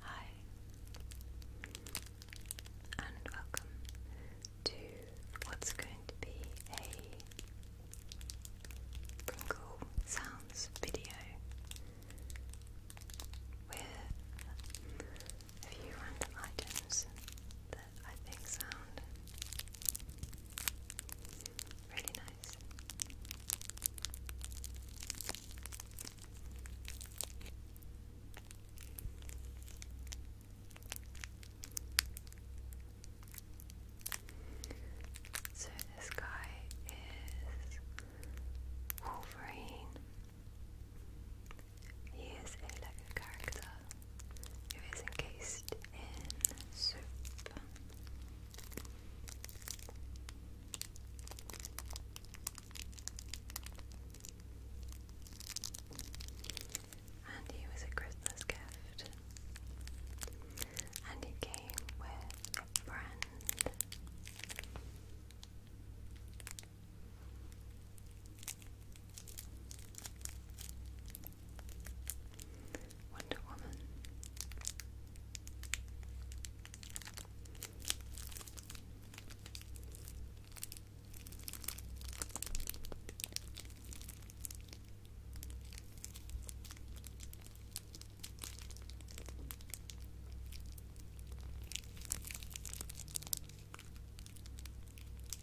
Hi, and welcome to what's going to be a Pringle Sounds video with a few random items I think sound really nice. So this guy is Wolverine. He is a Lego character it was encased in soup. And he was a Christmas gift. And he came with a friend. Wonder Woman.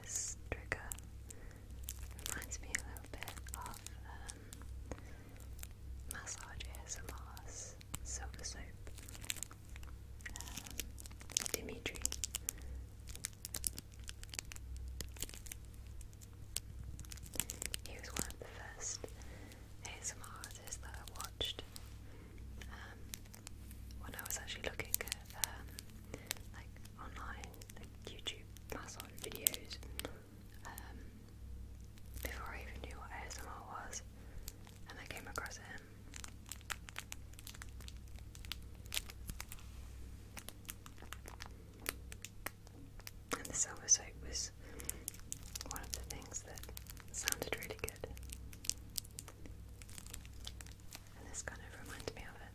This trigger reminds me a little bit of um, Massage ASMR's Silver Soap um, He was one of the first ASMR artist that I watched um, when I was actually looking at um, like online like YouTube massage videos um, before I even knew what ASMR was, and I came across him. And the silver soap was one of the things that sounded really good. And this kind of reminds me of it.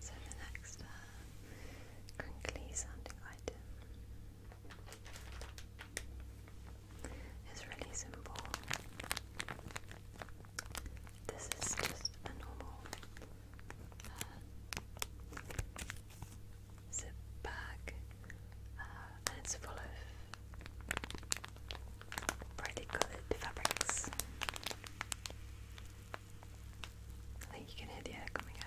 So the next uh, crinkly sounding item is really simple. This is just a normal uh, zip bag, uh, and it's full of brightly coloured fabrics. I think you can hear the air coming out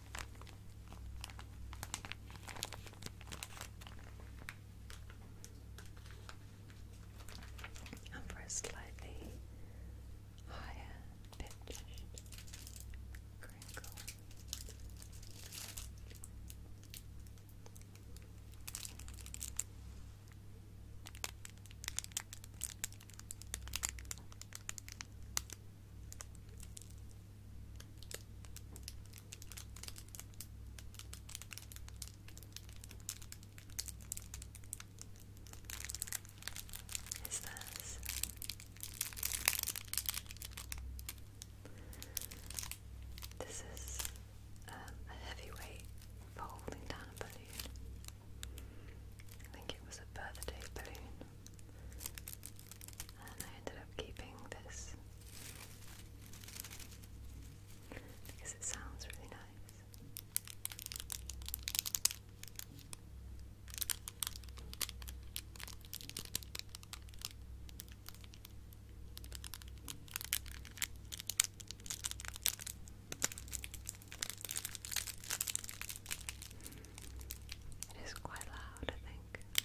And for a slightly higher pitched crinkle. Is this? This is um, a heavyweight holding down a balloon. I think it was a birthday balloon. I ended up keeping this because it sounds really nice. It is quite loud, I think.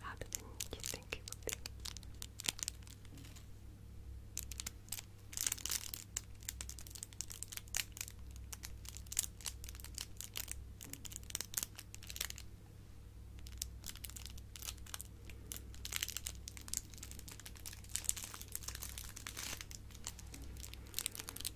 How do you think it would be?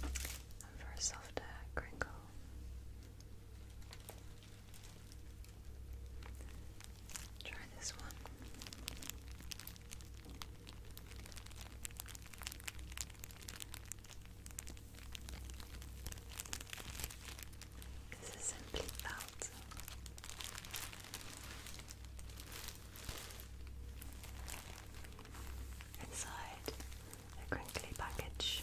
And for a softer uh, crinkle. Try this one. This is simply felt inside a crinkly package.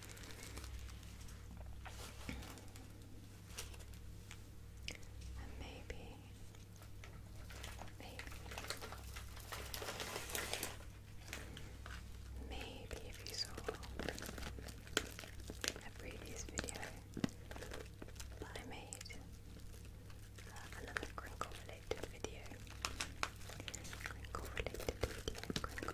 And maybe, maybe, maybe if you saw a previous video that I made, uh, another crinkle related video, crinkle related video,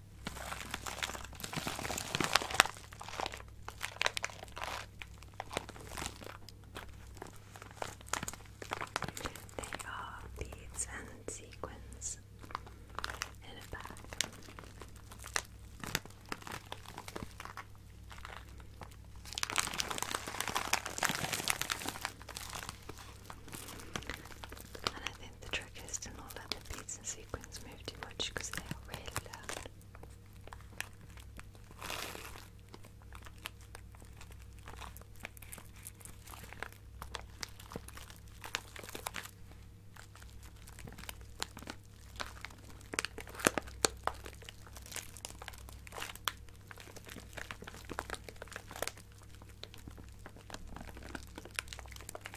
They are beads and sequins in a bag. And I think the trick is to not let the beads and sequins move too much because they are really loud.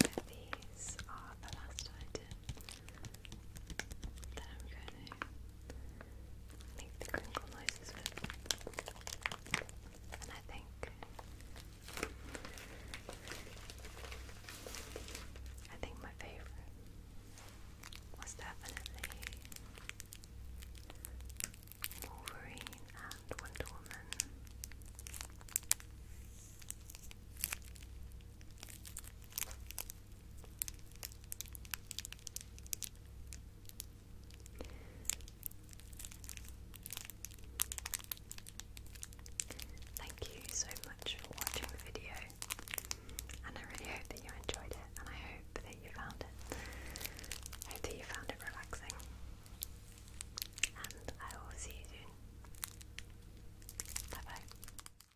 So these are the last I that I'm going to make the crinkle noises with. And I think I think my favorite was definitely Wolverine and Wonder Woman. Thank you so much for watching the video, and I really hope that you enjoyed it, and I hope that you found it. I hope that you found it relaxing, and I will see you soon. Bye bye.